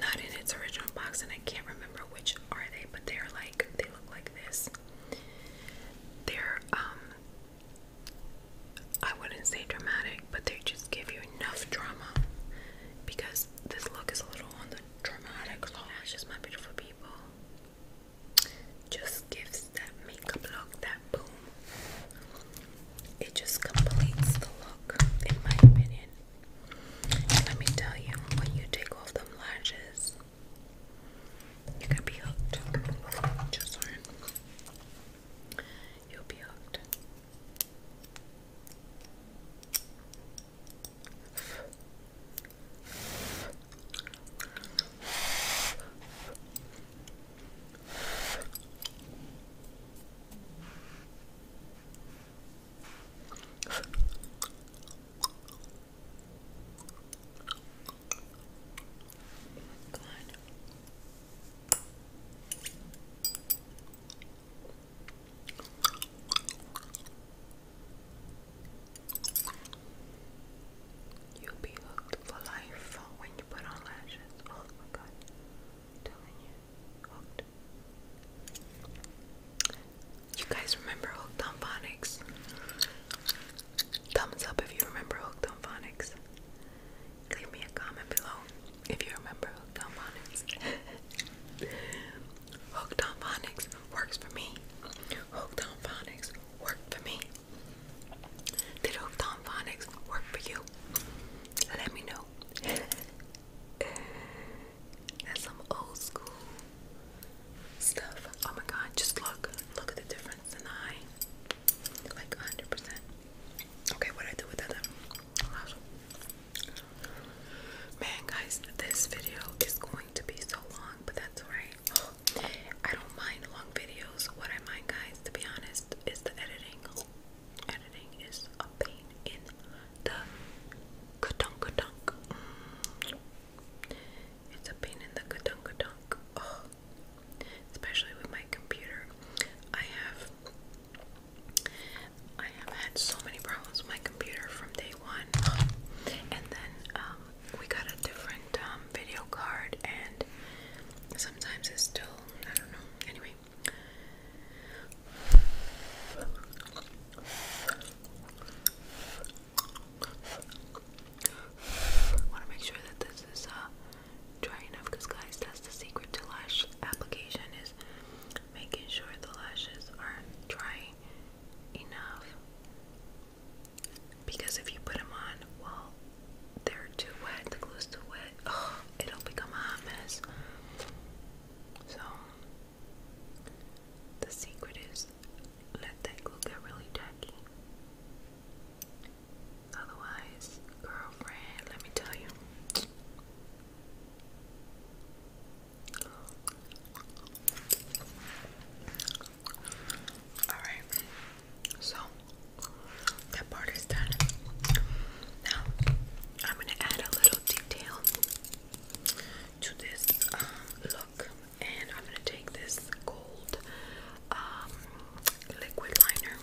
not in its original box, and I can't remember which are they, but they're like they look like this. They're um I wouldn't say dramatic, but they just give you enough drama because this look is a little on the dramatic side. Lashes, my beautiful people, just gives that makeup look, that boom. It just completes the look, in my opinion. let me tell you, when you take off them lashes, you can be hooked. Just learn. You'll be hooked. Come You'll be hooked for life when you put on lashes. Oh my god you. You guys remember Hooked on Phonics? Thumbs up if you remember Hooked on Phonics. Leave me a comment below if you remember Hooked on Phonics. Hooked on Phonics works for me. Hooked on Phonics worked for me. Did Hooked on Phonics work for you? let me know. Uh, that's some old school stuff. Oh my god, just look. Look at the difference in the eye. Like 100%. Okay, what do I do with that? Man, guys, this video is going to be so long, but that's alright. I don't mind long videos. What I mind, guys, to be honest, is the editing. Editing is a pain in the ka-dunk dunk. Mm. It's a pain in the ka-dunk dunk. Oh. Especially with my computer. I have I have had so many problems with my computer from day one. And then um we got a different um video card and sometimes it's still I don't know. Anyway, want to make sure that this is uh, dry enough because guys that's the secret to lash application is making sure the lashes are dry enough because if you put them on while they're too wet, the glue's too wet, oh, it'll become a mess. So, the secret is let that glue get really tacky. Otherwise, girlfriend, let me tell you. All right, so that part is done. Now, I'm gonna add a little detail to this um, look, and I'm gonna take this gold um, liquid liner,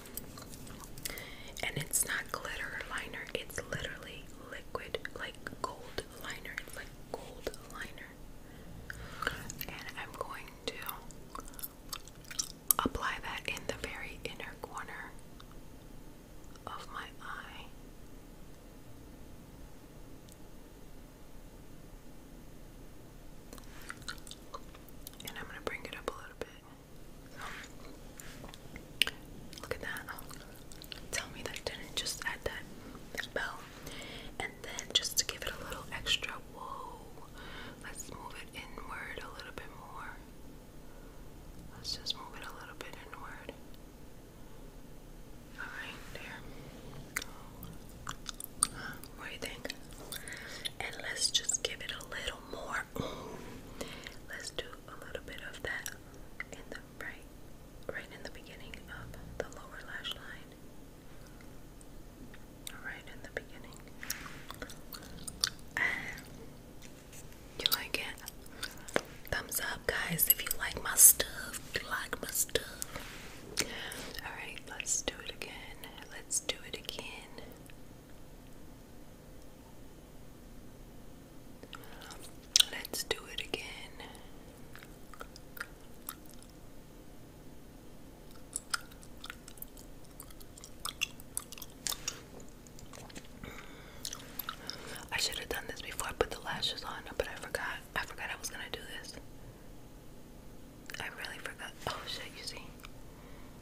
and it's not glitter liner; it's literally liquid, like gold liner. like gold liner, and I'm going to apply that in the very inner corner of my eye. And I'm going to bring it up a little bit. Look at that. Tell me that didn't just add that bell. And then just give it a little extra, whoa, let's move it inward a little bit more. Let's just move it a little bit inward. All right, there. What do you think? And let's just give it a little more. Let's do a little bit of that in the right, right in the beginning of the lower lash line. Right in the beginning. You like it? Thumbs up, guys, if you like my stuff. You like my stuff. Alright, let's do it again. Let's do it again. Let's do it again. I should have done this before I put the lashes on, but I forgot. I forgot I was gonna do this. I really forgot. Oh shit, you see.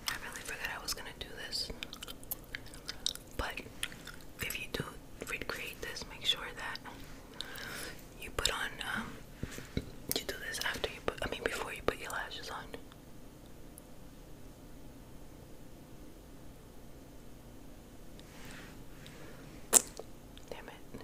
I really forgot I was gonna do this. But if you do recreate this, make sure that you put on, um, you do this after you put, I mean, before you put your lashes on. Damn it.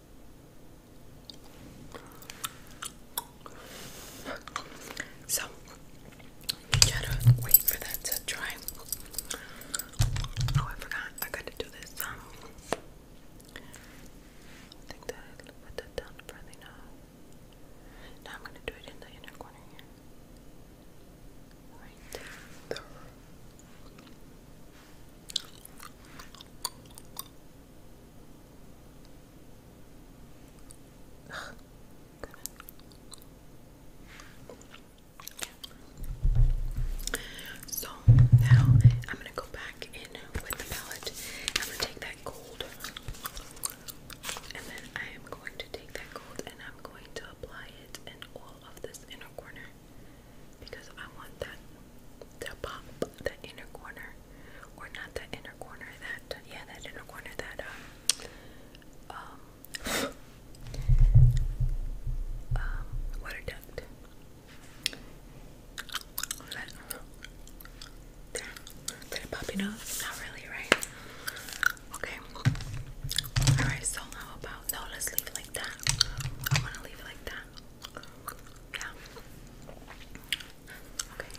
So you gotta wait for that to dry. Oh, I forgot. I gotta do this. Um, I think that I put that down further now. Now I'm gonna do it in the inner corner here. Right there. So now I'm gonna go back in with the palette. I'm gonna take that gold, and then I am going to take that gold and I'm going to apply it in all of this inner corner because I want that to pop the inner corner or not that inner corner, that yeah, that inner corner, that um, um, um water duct. That, did it pop your nose? Not really, right? Okay. Alright, so how about no? Let's leave it like that. I want to leave it like that. Yeah. Okay,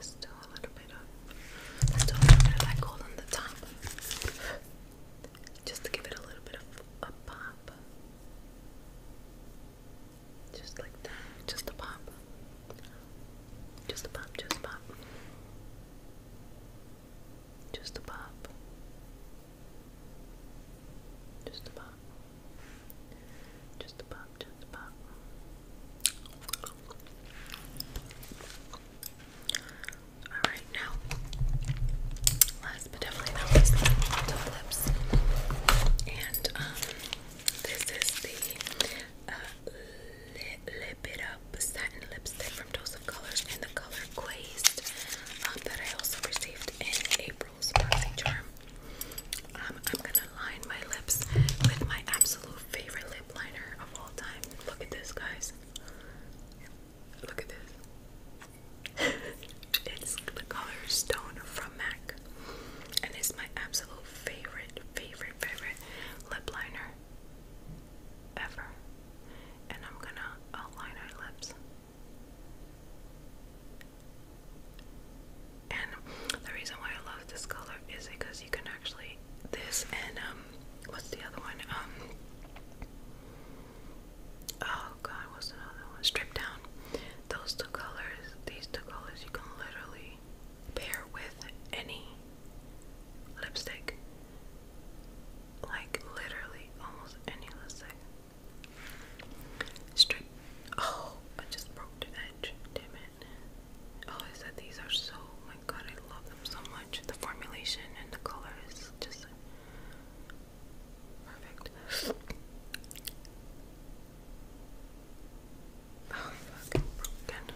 still a little bit of, still a little bit of that gold on the top. Just to give it a little bit of a pop. Just like that, Just a pop, just a pop. Just a pop. Just a pop. Just a pop, just a pop. Alright, now, last but definitely not least, the flips. And, um, this is the uh, Lip It Up Satin Lipstick from Dose of Colors in the color Quaste um, that I also received in April. Um, I'm gonna line my lips with my absolute favorite lip liner of all time. Look at this, guys. Look at this. it's the color Stone from MAC. And it's my absolute favorite, favorite, favorite lip liner ever. And I'm gonna outline our lips. And the reason why I love this color is because you can actually this and um what's the other one? Um Oh god, what's another one? Strip down. Those two colors, these two colors you can literally pair with any lipstick. Like literally almost any lipstick. Straight. Oh, I just broke the edge. Damn it. Oh, I said these are so. Oh my God, I love them so much. The formulation and the color just perfect. Oh, broken.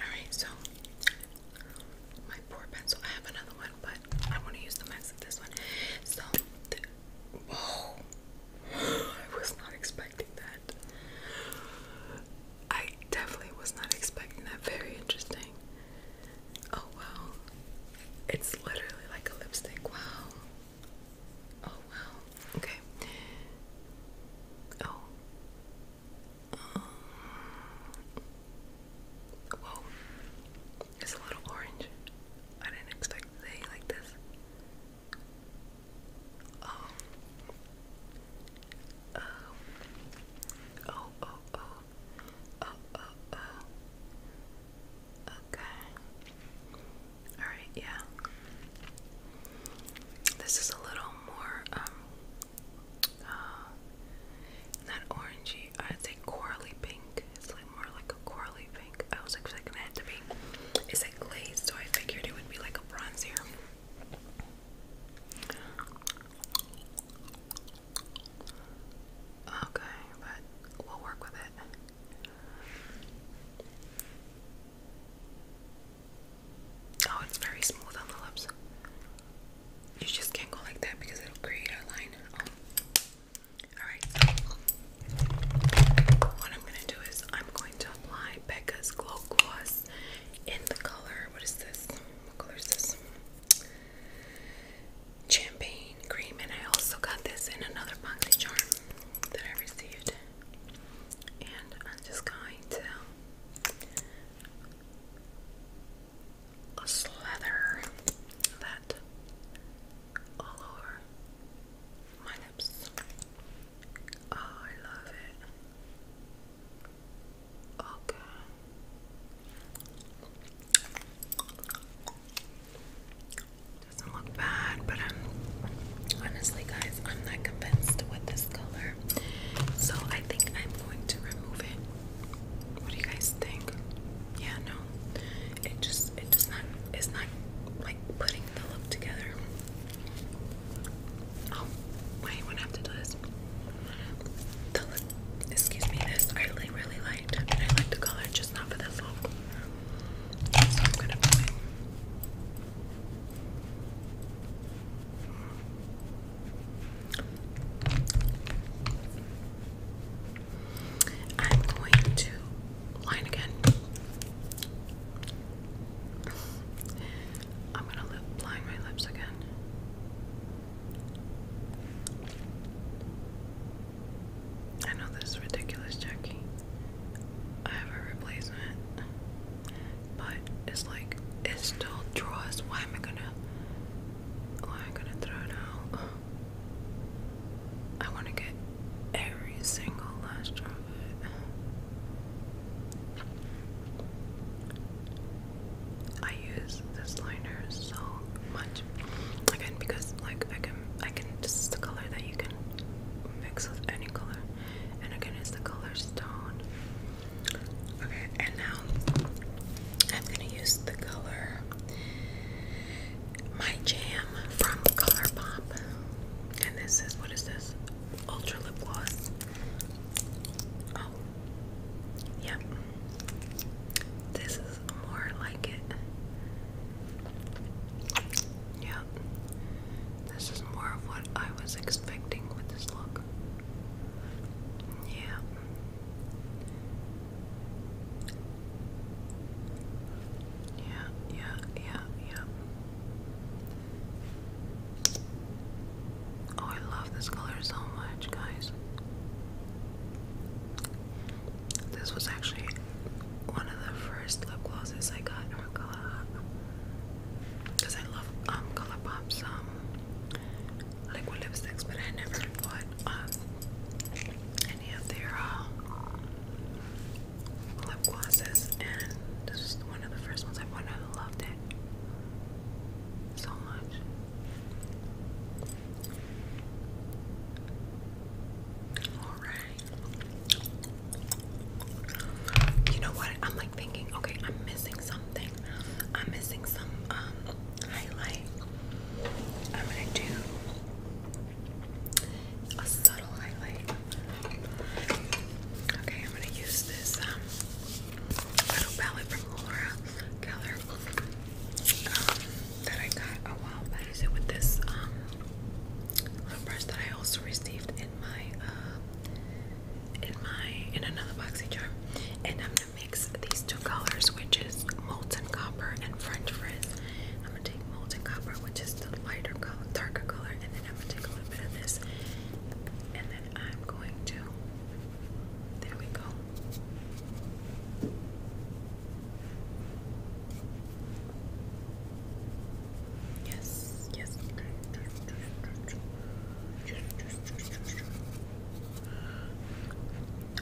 Alright, so my poor pencil. I have another one, but I want to use the mess of this one. So, whoa. I was not expecting that. I definitely was not expecting that. Very interesting. Oh wow. It's literally like a lipstick. Wow. Oh wow. Okay. Oh. Um. Whoa. It's a little orange. I didn't expect to be like this. Um, oh. Oh. Oh, oh, oh. Oh, oh, oh. Okay. Alright, yeah. This is a little more, um, uh, not orangey, I'd say corally pink. It's like more like a corally pink. I was expecting that to be, it's like glazed, so I figured it would be like a bronzier. Okay, but we'll work with it. Oh, it's very smooth on the lips. You just can't go like that because it'll create a line. Oh. Alright, what I'm going to do is I'm going to apply Becca's Glow Gloss in the color. What is this? What color is this? champagne cream, and I also got this in another boxy charm that I received. And I'm just going to slather that all over my lips. Oh, I love it. Okay. Doesn't look bad, but i honestly, guys, I'm not convinced with this color, so I think I'm going to remove it. What do you guys think? Yeah, no, it just it does not. It's not like putting the look together. Oh, I would have to do this. The look, excuse me, this I really, really liked, and I like the color, just not for this look. I'm gonna put I'm going to line again. I'm going to lip line my lips again. I know this is ridiculous, Jackie. I have a replacement. But it's like it's still draws. Why am I gonna why am I gonna throw it out? I wanna get every single last drop of it. I use this liner so much Again, because like I can, I can. This is the color that you can mix with any color, and again, it's the color stone. Okay, and now I'm gonna use the color My Jam from ColourPop, and this is what is this? Ultra lip gloss. Oh, yep. This is more like it. Yeah. This is more of what I was expecting with this look. Yeah. Yeah, yeah, yeah, Oh, I love this color so much, guys. This was actually one of the first lip glosses I got from Colour because I love um, um liquid lipsticks, but I never bought um, any of their um, lip glosses, and this is one of the first ones I bought. I loved it so much. Alright. You know what? I'm like thinking, okay, I'm missing something. I'm missing some um, highlight. I'm gonna do a subtle highlight. Okay, I'm gonna use this um, little palette from Laura Keller that I got a while I use it with this um, little brush that I also received in my uh, in my in another boxy charm. And I'm gonna mix these two colors, which is molten copper and French frizz. I'm gonna take molten copper, which is the lighter color, darker color, and then I'm gonna take a little bit of this, and then I'm going to. There we go. Yes, yes.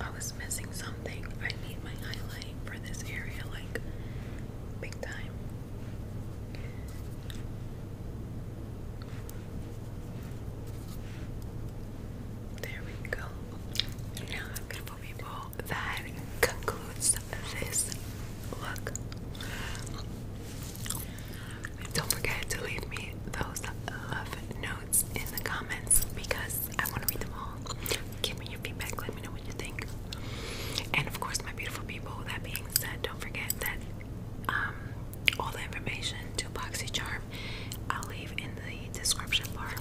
I was missing something. I need my highlight for this area, like big time. There we go. Now I'm gonna put my ball that concludes this look. Don't forget to leave me those love notes in the comments because I want to read them all. Give me your feedback, let me know what you think. And of course, my beautiful people, that being said, don't forget that um, all the information to charm I'll leave in the description bar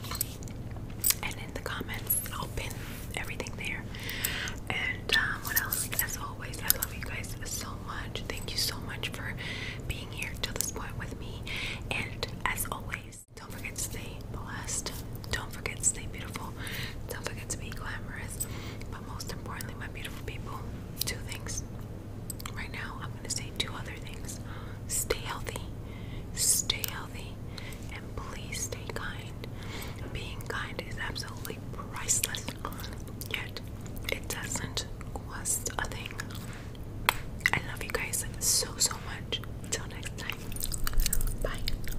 and in the comments I'll pin everything there. And um, what else? As always, I love you guys so much. Thank you so much for being here till this point with me. And as always, don't forget to stay blessed. Don't forget to stay beautiful. Don't forget to be glamorous. But most importantly, my beautiful people, two things. Right now, I'm going to say two other things. Stay healthy. Stay healthy and please stay kind. Being kind is absolutely priceless, yet it doesn't cost a thing. I love you guys so, so much. Until next time. Bye.